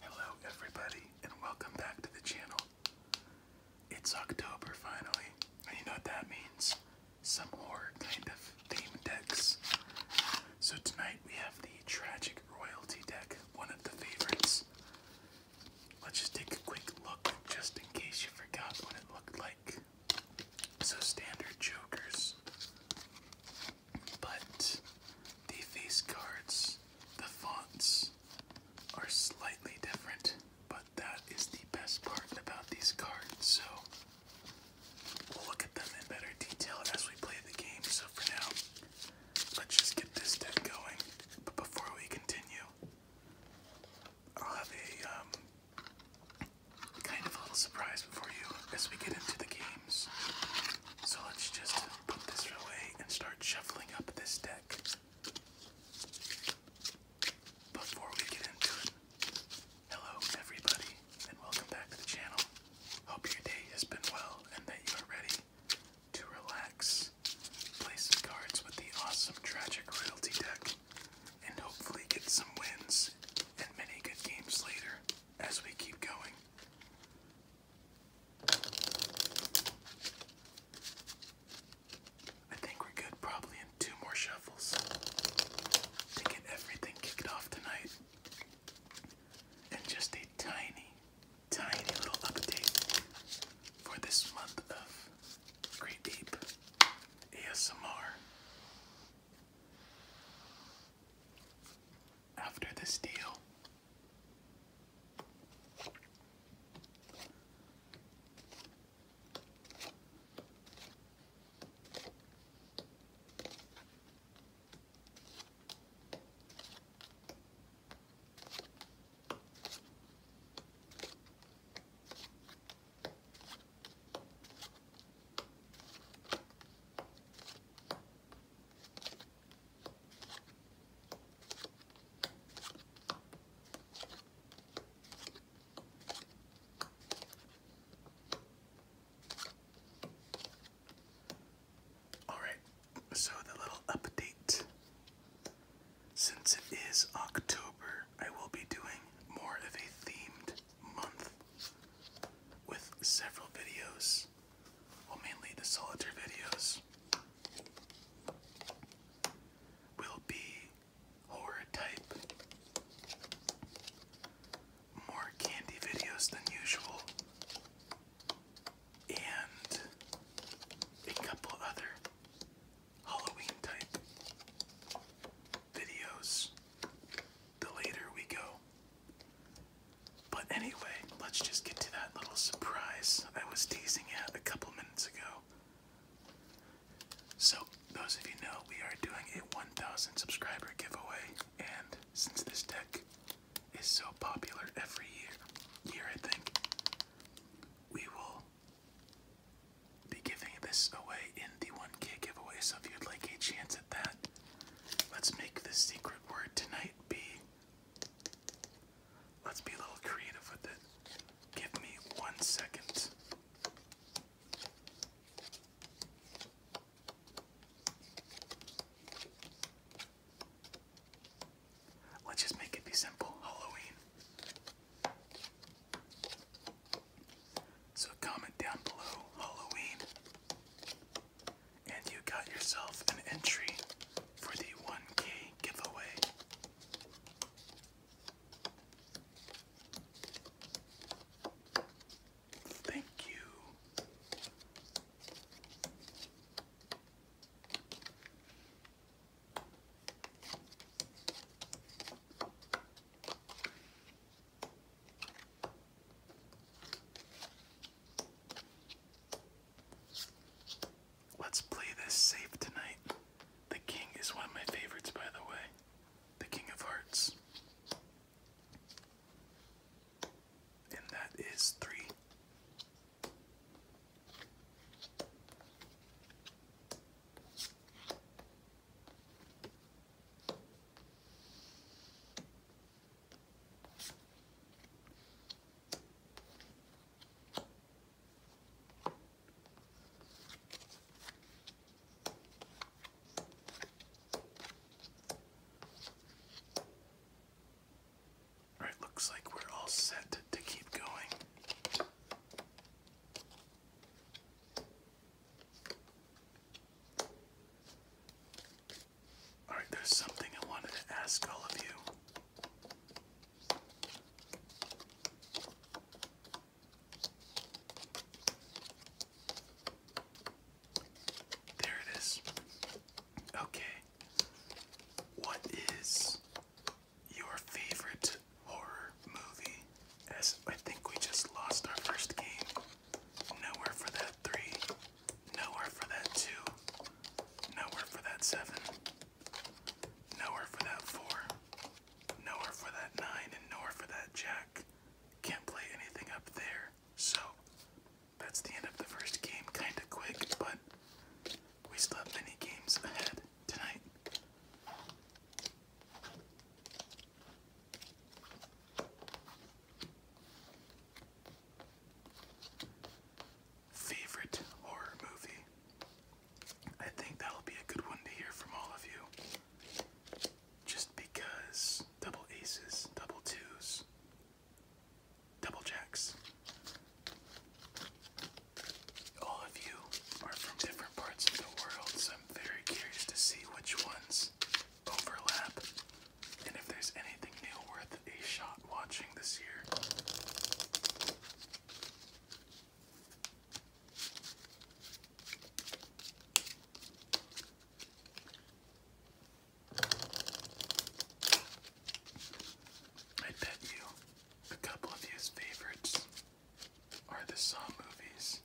Hello, everybody, and welcome back to the channel. It's October finally, and you know what that means? Some more kind of theme decks. So, tonight we have the Tragic Royalty deck, one of the favorites. Let's just take a quick look just in case you forgot what it looked like so standard jokers, but the face cards, the fonts are slightly different, but that is the best part about these cards. So we'll look at them in better detail as we play the game. So for now, let's just get this deck going. But before we continue, I'll have a um, kind of a little surprise before you as we get into the games. So let's just put this away and start shuffling up this deck. Before we get into it, hello everybody and welcome back to the channel. Hope your day has been well and that you are ready to relax. Play some cards with the awesome Tragic Royalty deck and hopefully get some wins and many good games later as we keep going. I think we're good probably in two more shuffles to get everything kicked off tonight. And just a tiny, tiny little update for this month of Great Deep ASMR. After this deal, all right, so the little update since it is October I will be doing more of a themed month with several videos, well, mainly the solitaire videos. Will be horror type, more candy videos than usual, and a couple other Halloween type videos the later we go. But anyway, let's just get to that little surprise I was teasing you at a couple minutes ago. So, those of you know, we are doing a 1000 subscriber giveaway, and since this deck is so popular every year, year I think, we will be giving this away in the 1K giveaway, so if you'd like a chance at that, let's make this secret word tonight be. Let's be a little creative with it. Give me one second. Let's just make it be simple Halloween. So comment down below Halloween, and you got yourself an entry for the 1K giveaway. Thank you. Let's play this safe tonight. The king is one of my favorites, by the way. The king of hearts. And that is three. All right, looks like we're all set to keep going. All right, there's something I wanted to ask all of you. There it is. Okay. What is your favorite horror movie. As I think we just lost our first game. Nowhere for that three. Nowhere for that two. Nowhere for that seven. Nowhere for that four. Nowhere for that nine and nowhere for that jack. Can't play anything up there. So that's the end of the first game, kinda quick, but we still have many games ahead tonight. Favorite horror movie? I think that'll be a good one to hear from all of you. Just because double aces, double twos, double jacks. All of you are from different parts of the world, I'm very curious to see which ones overlap and if there's anything new worth a shot watching this year. I bet you a couple of you's favorites are the Saw movies.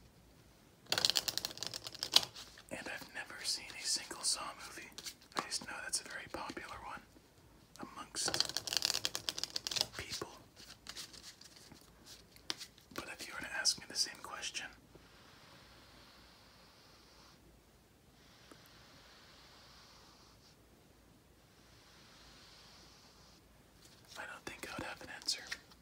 And I've never seen a single Saw movie. I just know that's a very popular one amongst people. But if you were to ask me the same question, I don't think I would have an answer.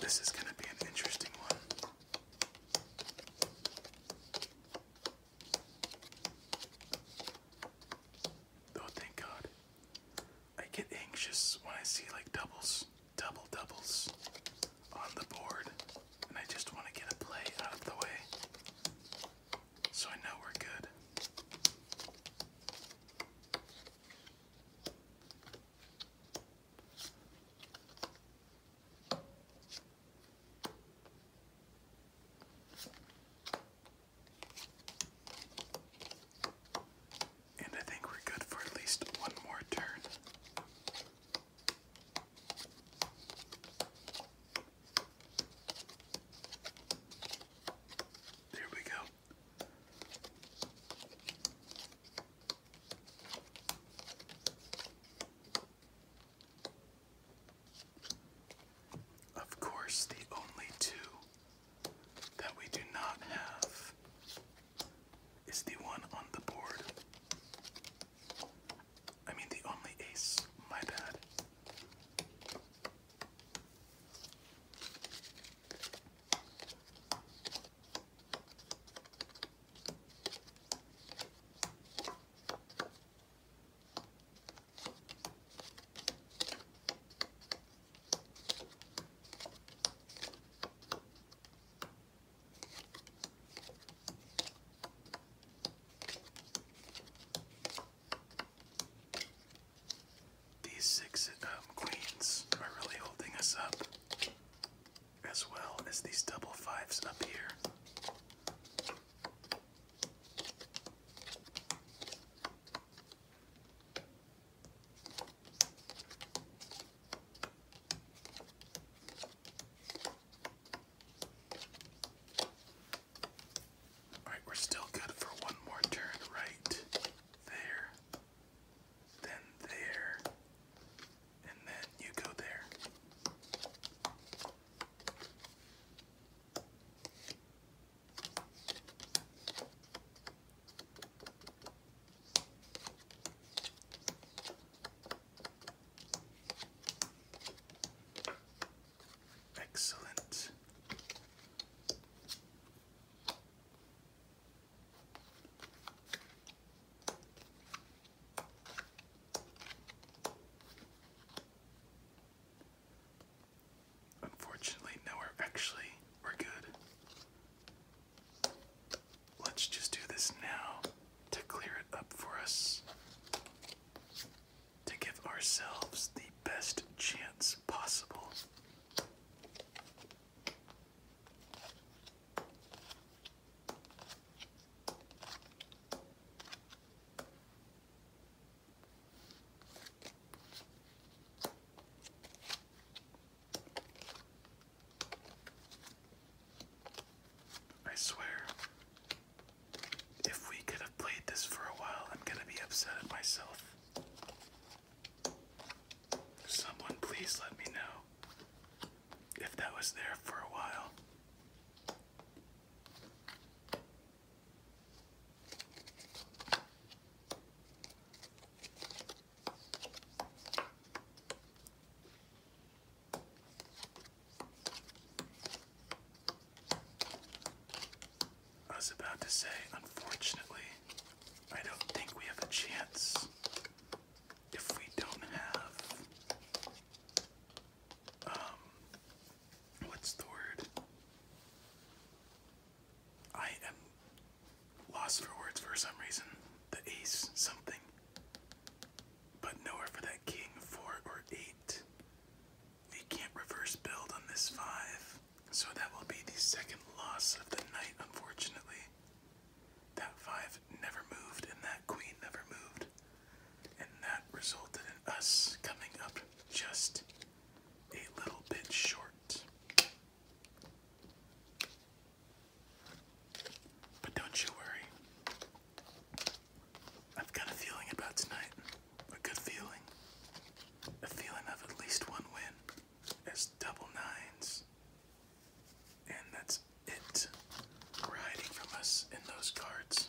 This is going to be an interesting one. Oh, thank God. I get anxious when I see like doubles, double doubles on the board, and I just want to get a play out of the way so I know we're good. And I think we're good for at least one more turn. There we go. Of course, the only two that we do not have is the one on the board. I mean, the only ace, my bad. These six um, queens are really holding us up as well as these double fives up here. All right, we're still good for one more turn right there, then there, and then you go there. Excellent. Unfortunately, no, we're actually, we're good. Let's just do this now to clear it up for us, to give ourselves the best chance possible. I swear, if we could have played this for a while, I'm gonna be upset at myself. Someone please let me know if that was there for a while. I was about to say, unfortunately, I don't think we have a chance if we don't have um what's the word? I am lost for words for some reason. The ace something. But nowhere for that king, four or eight. We can't reverse build on this five. So that will be the second loss of the night, unfortunately. That five never moved, and that queen never moved. And that resulted in us coming up just a little bit short. But don't you worry. I've got a feeling about tonight. A good feeling. A feeling of at least one win. As double nines and that's it hiding from us in those cards.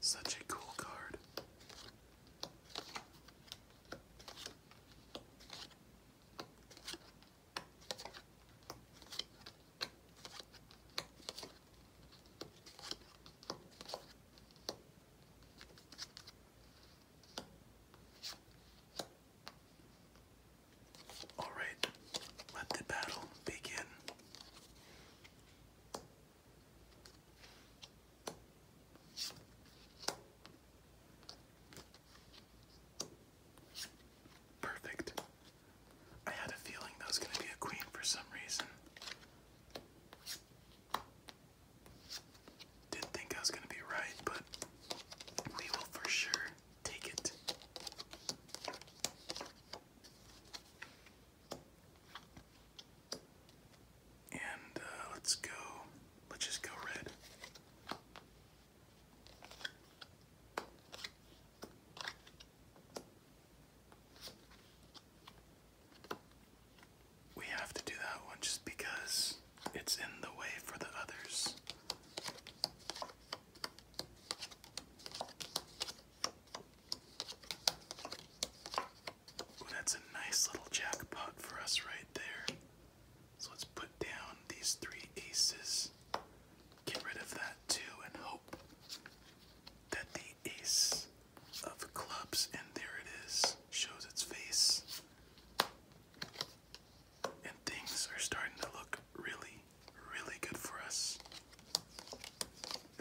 Such a cool card. All right, let the battle begin. Perfect. I had a feeling that was going to be a queen for some reason. Didn't think I was going to be right, but we will for sure take it. And uh, let's go, let's just go red. We have to do that one just because it's in the way for the others that's a nice little jackpot for us right there. So let's put down these three aces, get rid of that too, and hope that the ace of clubs, and there it is, shows its face. And things are starting to look really, really good for us.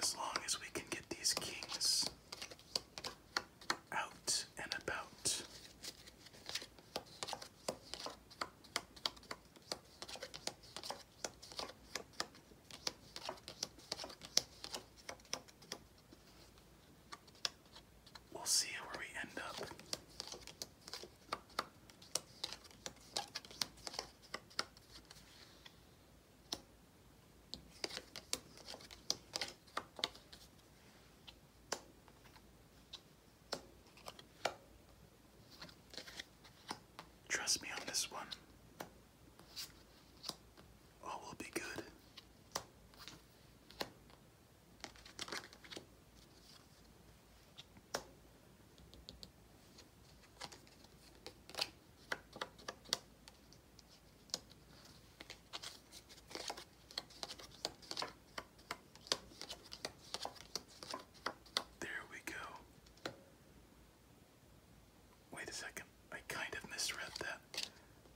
As long as we can get these kings out and about. We'll see where we end up. Trust me on this one. All will be good. There we go. Wait a second. I kind of misread that.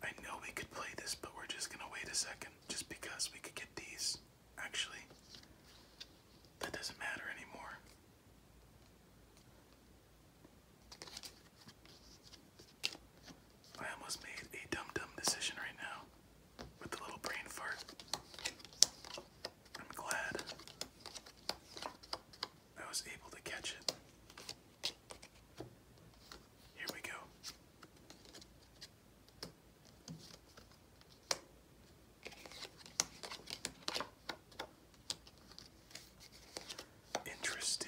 I know we could play this, but we're just gonna wait a second just because we could get these. Actually, that doesn't matter anymore. I almost made a dumb dumb decision right now with the little brain fart. I'm glad I was able to catch it. Here we go. Interesting.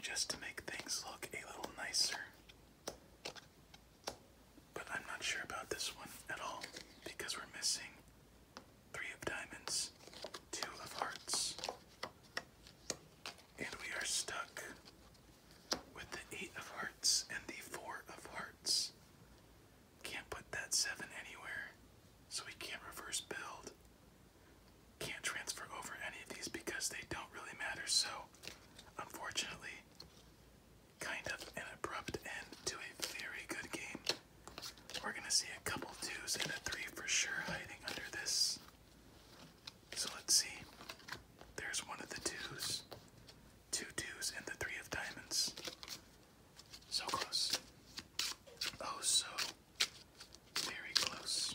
Just to make things look a little nicer. But I'm not sure about this one at all because we're missing three of diamonds, two of hearts. And we are stuck with the eight of hearts and the four of hearts. Can't put that seven anywhere, so we can't reverse build. Can't transfer over any of these because they don't really matter, so unfortunately, kind of an abrupt end to a very good game. We're gonna see a couple twos and a three for sure hiding under this. So let's see. There's one of the twos, two twos, and the three of diamonds. So close. Oh, so very close.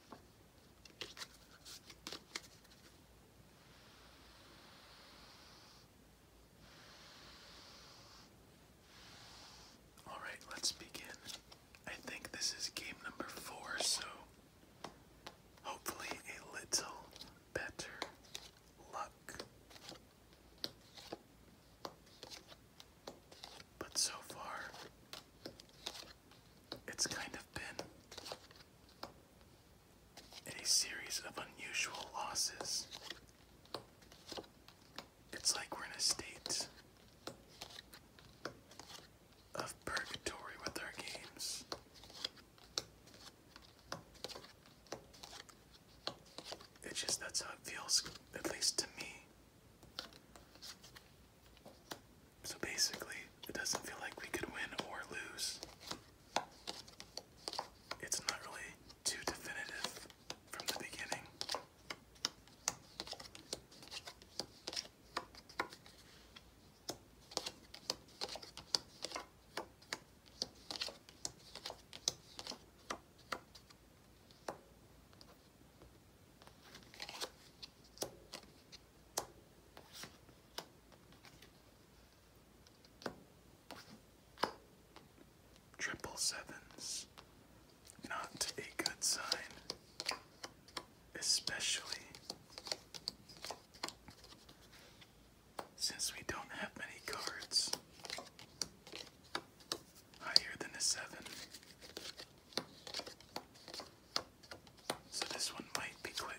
All right, let's begin. I think this is game number four, so hopefully a little better luck. But so far, it's kind of been a series of unusual losses. It's like we're in a state of purgatory with our games. It's just that's how it feels, at least to me. So basically, it doesn't feel like we could win or lose. It's not really too definitive from the beginning. Triple sevens, not a good sign, especially since we don't have many cards higher than a seven. So this one might be quick.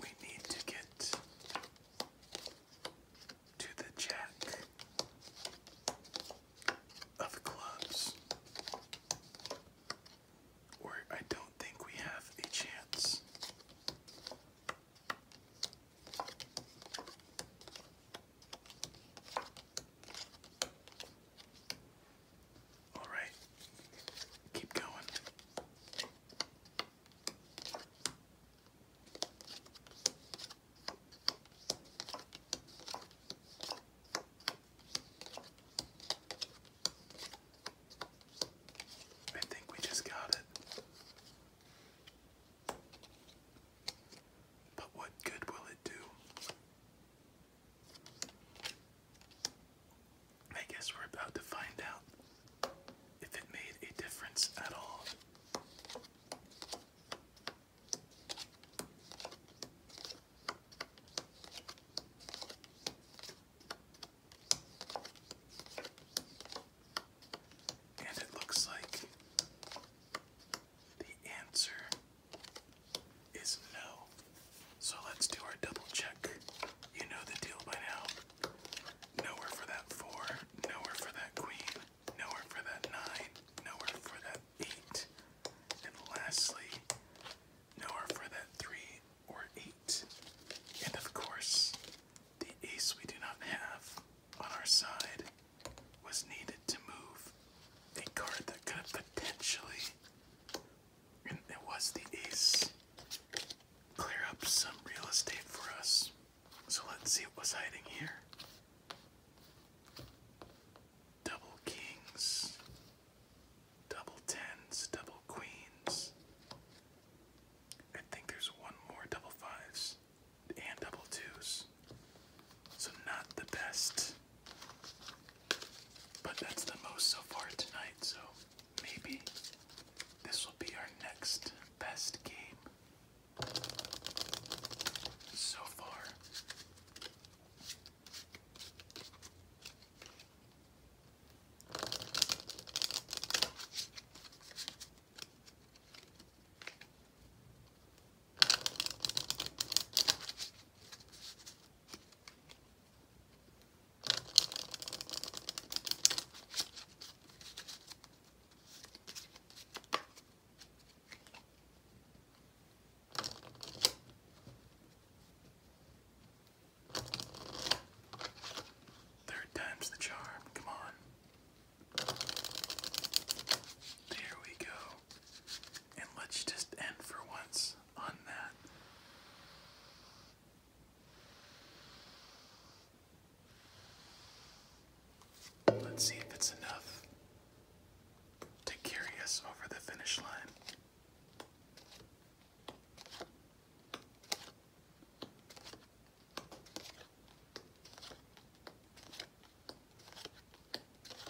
We need to get to the jack of clubs, where I don't think we have a chance. All right, keep going. I think we just got it. But what good will it do? I guess we're about to find out if it made a difference at all. And it looks like the answer is no. So let's do our double check. You know the deal by now. Nowhere for that four, nowhere for that queen, nowhere for that nine, nowhere for that eight, and lastly, nowhere for that three or eight. And of course, the ace we do not have on our side was needed to move a card that could potentially, and it was the ace, clear up some real estate for us. So let's see what was hiding here. Double kings, double tens, double queens. I think there's one more double fives and double twos. So, not the best. But that's the most so far tonight, so maybe this will be our next best game. So far. Third time's the charm, come on. There we go. And let's just end for once on that. Let's see if it's enough to carry us over the finish line.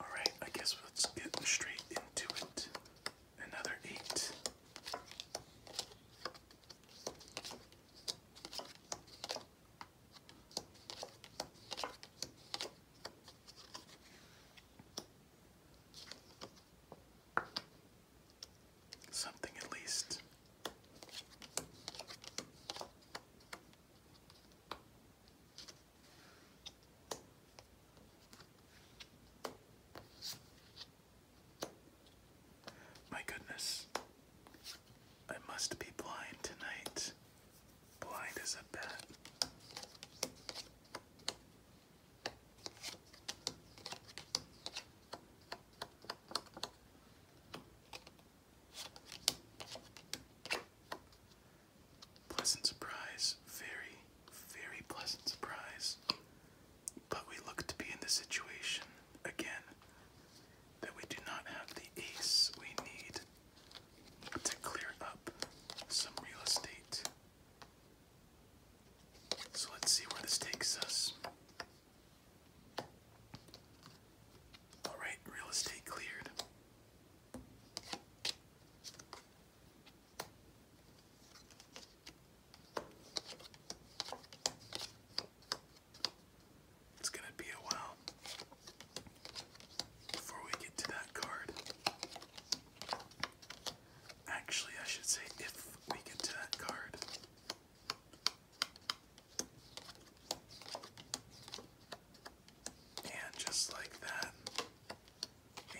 Alright, I guess let's get straight into it. Another eight. Something at least. My goodness, I must be blind tonight. Blind as a bat. Pleasant surprise. Very, very pleasant surprise. But we look to be in the situation again that we do not have the ace we need to clear up some real estate. So let's see where this takes us. Alright, real estate cleared. It's going to be a while before we get to that card. Actually, I should say if we get to that card. And just like that,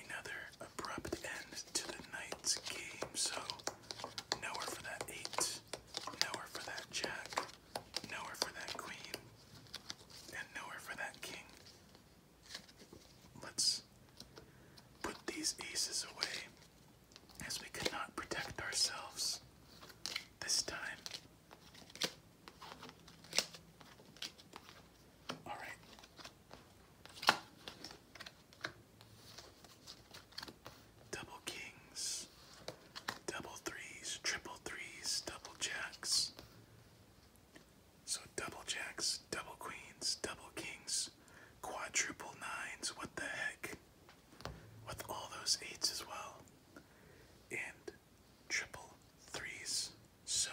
another abrupt end to the night's game. So nowhere for that eight, nowhere for that jack, nowhere for that queen, and nowhere for that king. Let's put these aces away as we cannot protect ourselves this time. All right. Double kings, double threes, triple threes, double jacks. So double jacks, double queens, double kings, quadruple nines. What the heck? With all those eights as well. And triple threes. So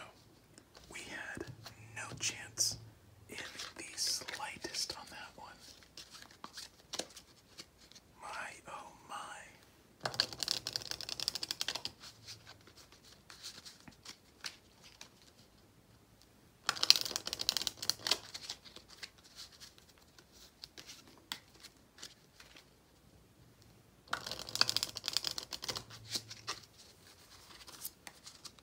we had no chance in the slightest on that one. My oh my.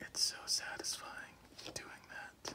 It's so satisfying doing that.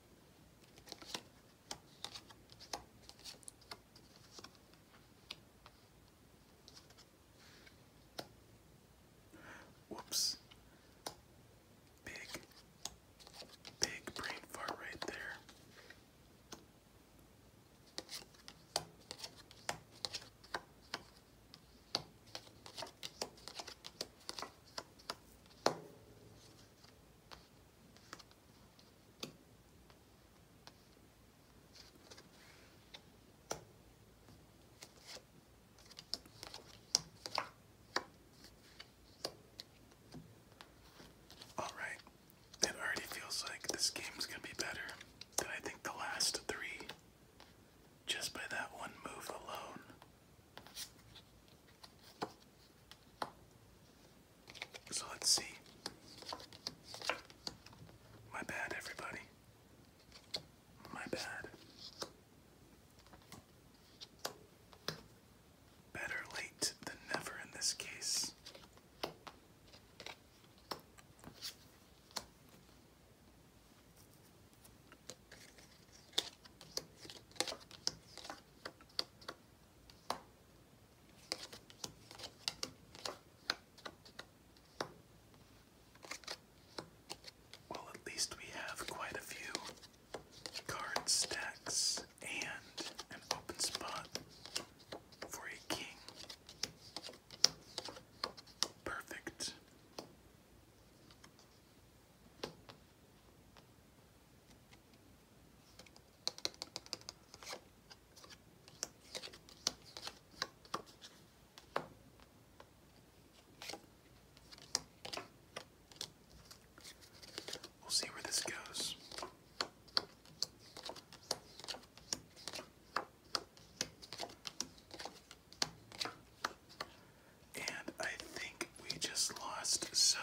Whoops. Big, big brain fart right there. All right. It already feels like this game's going to be better than I think the last three just by that one move alone. So let's see. My bad, everybody. My bad. Better late than never in this case. Well, at least we have quite a few card stacks and an open spot for a king. Perfect. We'll see where this goes. And I think we just lost so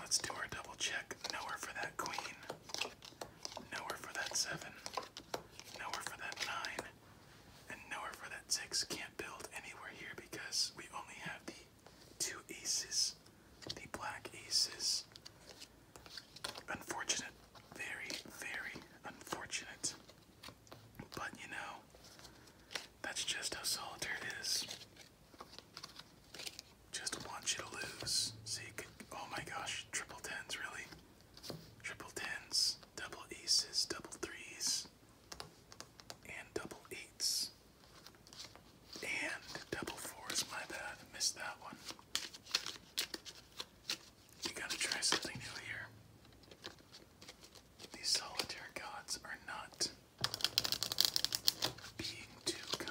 Let's do our double check. Nowhere for that queen. Nowhere for that seven. Nowhere for that nine. And nowhere for that six. Can't build anywhere here because we only have the two aces. The black aces. Unfortunate. Very, very unfortunate. But you know, that's just how solitaire is. Just want you to lose. So oh my gosh, triple tens, really? Triple tens, double aces, double threes, and double eights. And double fours, my bad, I missed that one. We gotta try something new here. These solitaire gods are not being too kind.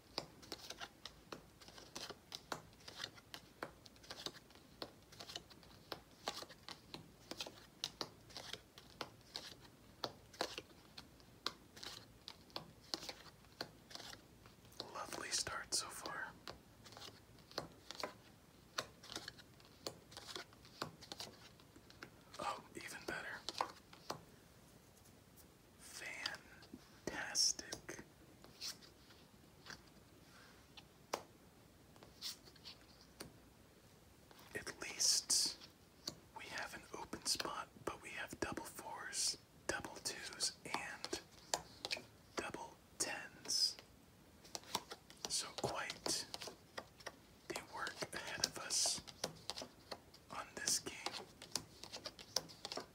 Lovely start so far. Oh, even better fantastic. At least we have an open spot, but we have double fours, double twos, and double tens. So quite the work ahead of us on this game.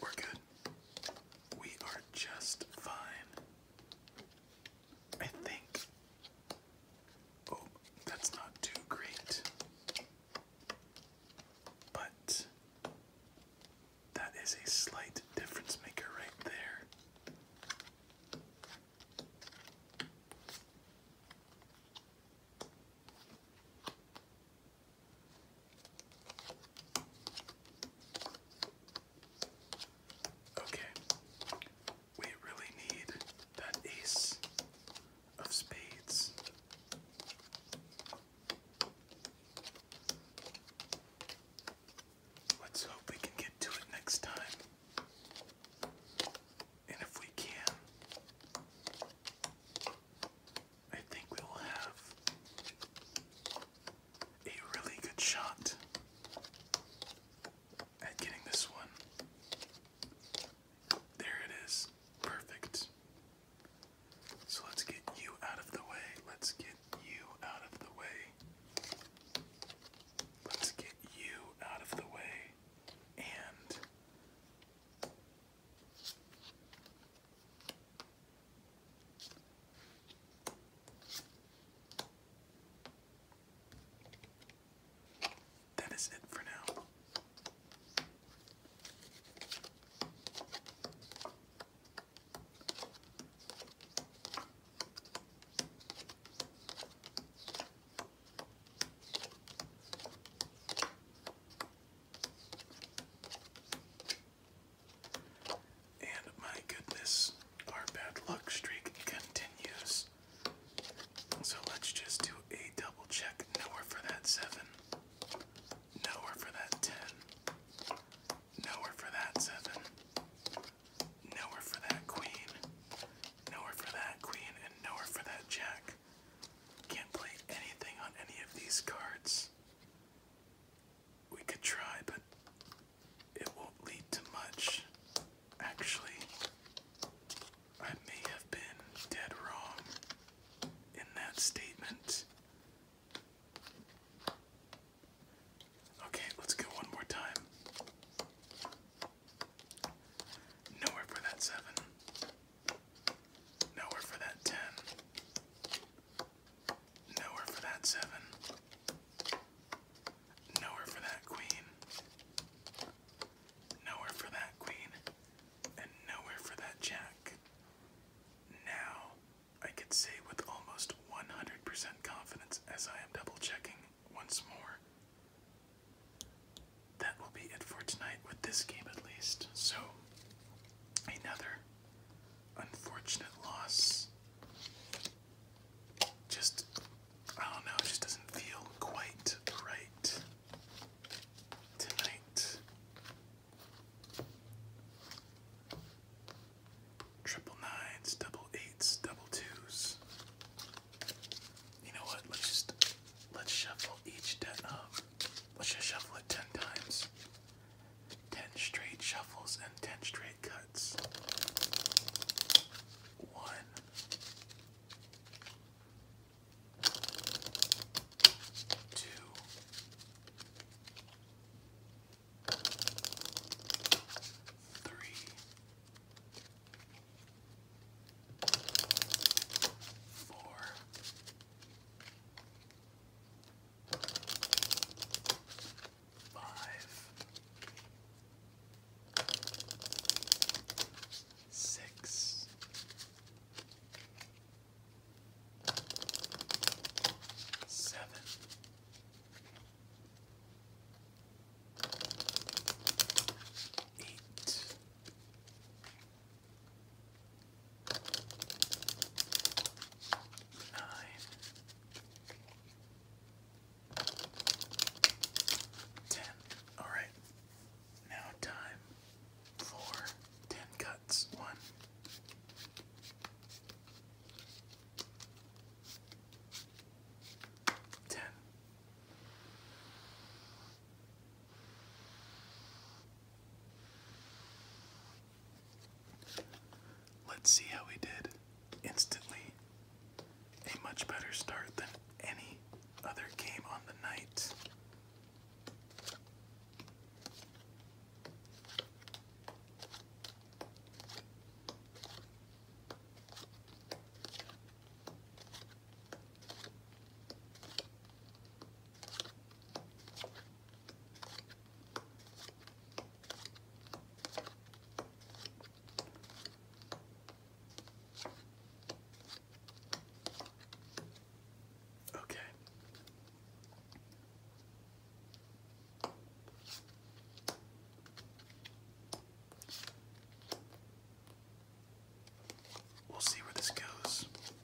We're good. We are just fine. I think. Oh, that's not too great. But that is a slight difference maker right there. Okay, we really need that ace of spades. Let's hope we can get to it next time. And if we can, I think we will have a really good shot at getting this one. There it is. Perfect. So let's get you out of the way. Let's get you out of the way. Let's get you out of the way. And that is it for now. And my goodness, our bad luck streak continues. So let's just do a double check. Nowhere for that 7. Nowhere for that 10. Nowhere for that 7. Nowhere for that queen. Nowhere for that queen. And nowhere for that jack. Can't play anything on any of these cards we could try, but it won't lead to much. Actually, I may have been dead wrong in that statement. Okay, let's go one more time. Nowhere for that seven. Nowhere for that ten. Nowhere for that seven. Nowhere for that queen. Nowhere for that queen. And nowhere for that jack. Now, I could say with almost 100% confidence as I am double checking once more. That will be it for tonight with this game at least. So, another unfortunate loss. Just, I don't know, it just doesn't feel quite right tonight. Triple nines, double eights, double twos. You know what? Let's just let's shuffle each deck up. Um, let's just shuffle it ten times. 10 straight shuffles and 10 straight cuts. 1 Five, six, seven, eight nine, ten. All right, now time for ten cuts. One. Ten. Let's see how we did. Instantly, a much better start than any other game on the night. Okay. We'll see where this goes.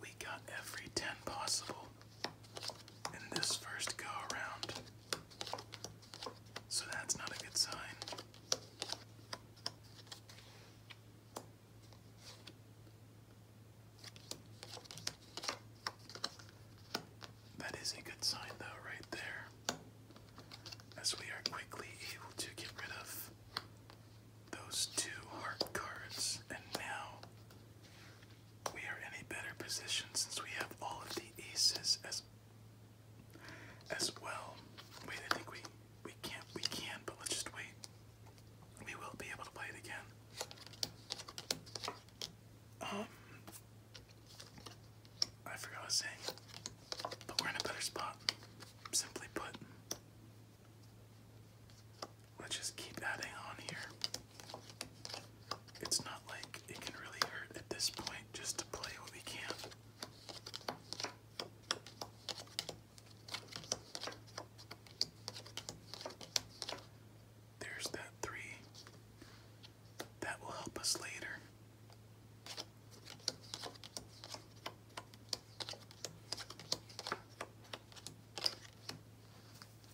we got every 10 possible in this first go around. So that's not a good sign. That is a good sign, though, right there, as we are quickly able to get rid of those two heart cards, and now we are in a better position since we have all of the aces as as well. Wait, I think we we can't we can, but let's just wait. We will be able to play it again. Um I forgot what I was saying. But we're in a better spot. Simply put. Let's just keep adding on here. It's not like it can really hurt at this point just to play what we can. There's that three. That will help us later.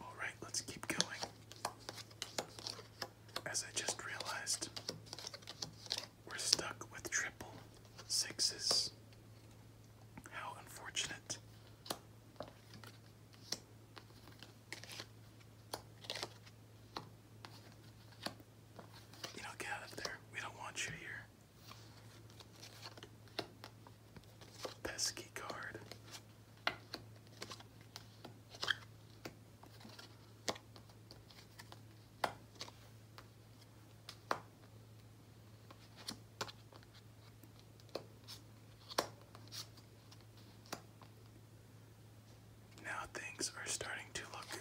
All right, let's keep going. As I just realized, we're stuck with triple sixes. How unfortunate. You know, get out of there. We don't want you here. Pesky card. Now things are starting to look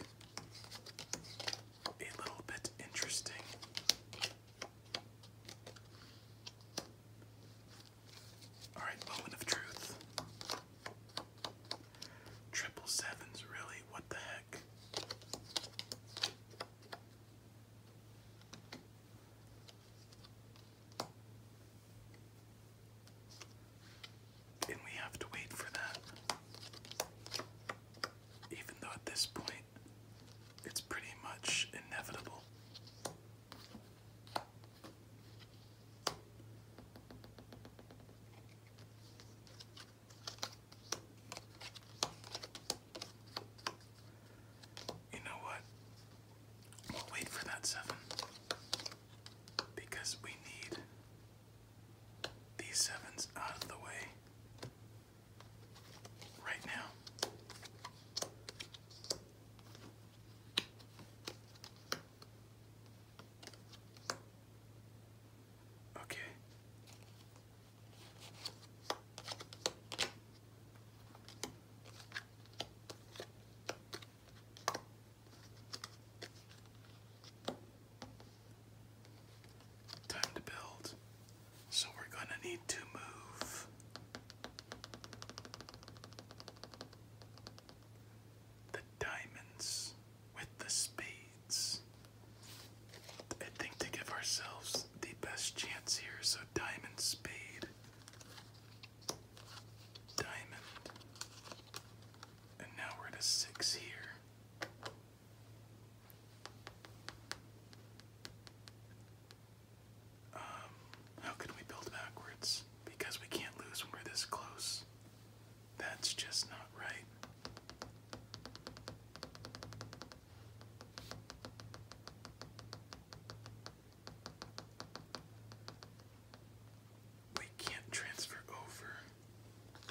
a little bit interesting. All right, moment of truth. Triple sevens, really? What the heck? And we have to wait for that. Even though at this point it's pretty much inevitable. You know what? We'll wait for that seven because we need these sevens out of the way right now. Okay. Time to build. So we're going to need to move the diamonds with the spades. I think to give ourselves the best chance here, so diamond spade. Diamond. And now we're at a six here. Um, how could we build backwards? Because we can't lose when we're this close. That's just not right. We can't transfer over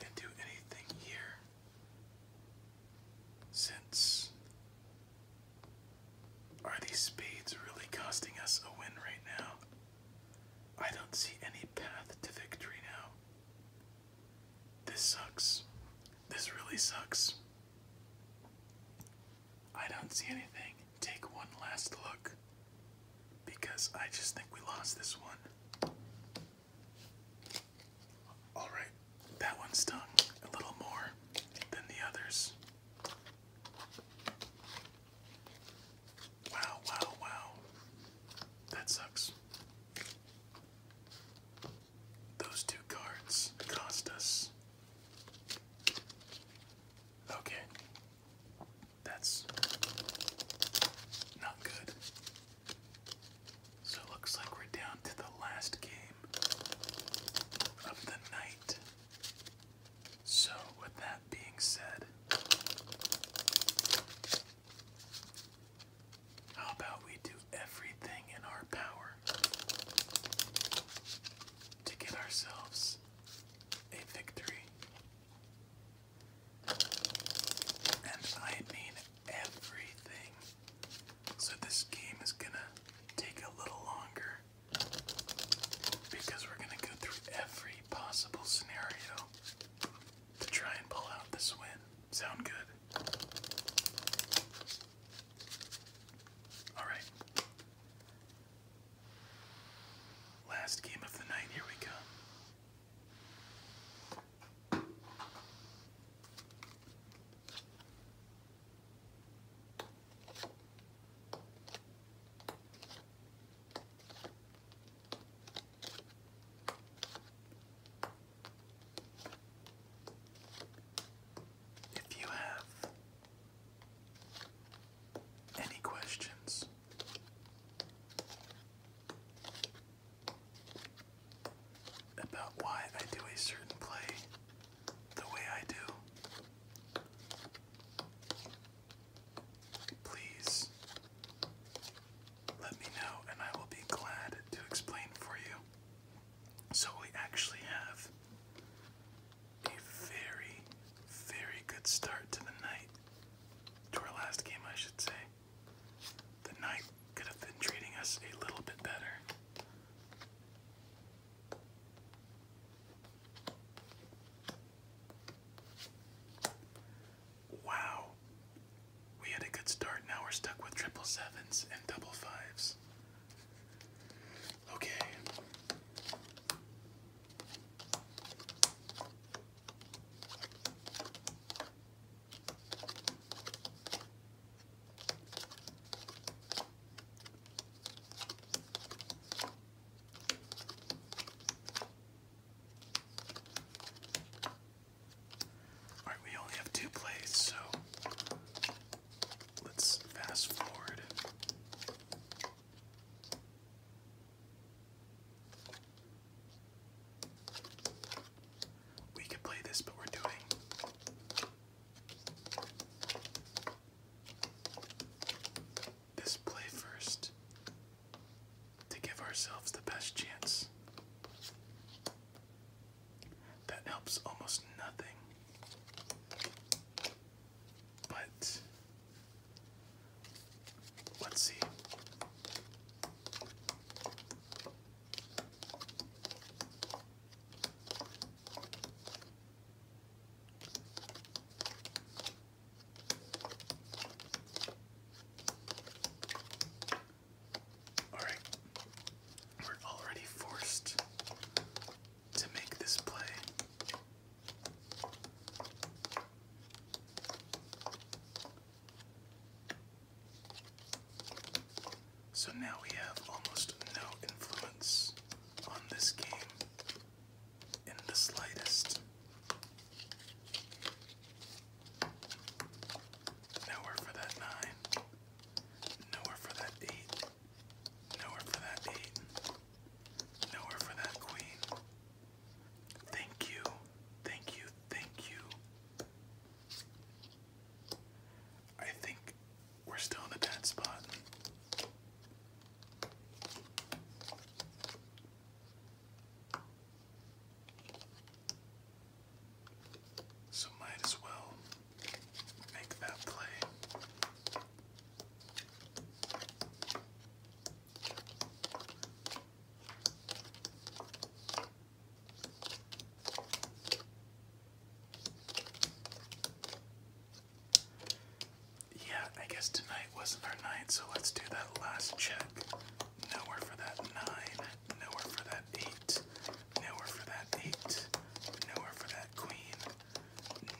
and do anything here since. Are these spades really costing us a win right now? I don't see any path to victory now. This sucks. This really sucks. I don't see anything. Take one last look because I just think we lost this one. Alright, that one stung a little more than the others. Wow, wow, wow. That sucks. Those two cards cost us. Okay. That's not good. So it looks like we're down to the last game of the night. So, with that being said, how about we do everything in our power to get ourselves a victory. And I mean everything. So this game is gonna take a little longer because we're gonna go through every possible scenario to try and pull out this win. Sound good? All right. Last game of the night, here we come. If you have any questions, about why I do a certain play the way I do. Please let me know and I will be glad to explain for you. So we actually have a very, very good start to the night. To our last game, I should say. The night could have been treating us a little bit better. Wow. We had a good start, now we're stuck with triple sevens and double fives. Okay. All right, we only have two plays, so Let's fast forward. We could play this, but we're doing this play first to give ourselves the best chance. That helps almost nothing. But let's see. All right, we're already forced to make this play. So now we have almost no influence on this game in the slightest. Nowhere for that nine. Nowhere for that eight. Nowhere for that eight. Nowhere for that queen. Thank you. Thank you. Thank you. I think we're still in a bad spot. So might as well yeah, I guess tonight wasn't our night, so let's do that last check. Nowhere for that nine, nowhere for that eight, nowhere for that eight, nowhere for that queen,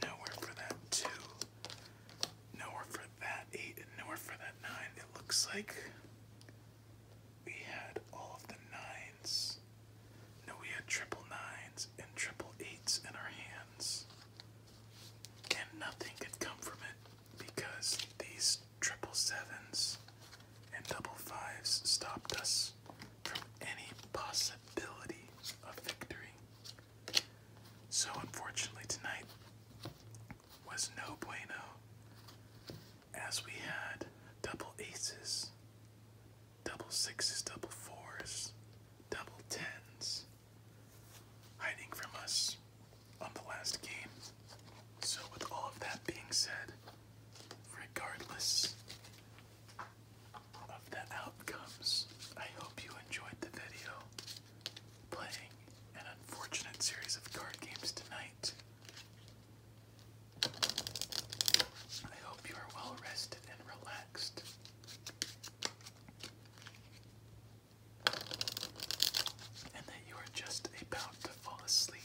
Nowhere for that two. Nowhere for that eight, nowhere for that nine. It looks like we had all of the nines. No, we had triple nines and triple eights in our hands. And nothing could come from it because these triple sevens and double fives stopped us from any possibility of victory. So, unfortunately, tonight was no bueno as we had double aces, double sixes, double fours, double tens hiding from us on the last game. So, with all of that being said, regardless of the outcomes. I hope you enjoyed the video playing an unfortunate series of card games tonight. I hope you are well rested and relaxed. And that you are just about to fall asleep.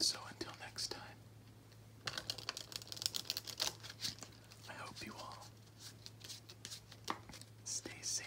So until next time, I hope you all stay safe.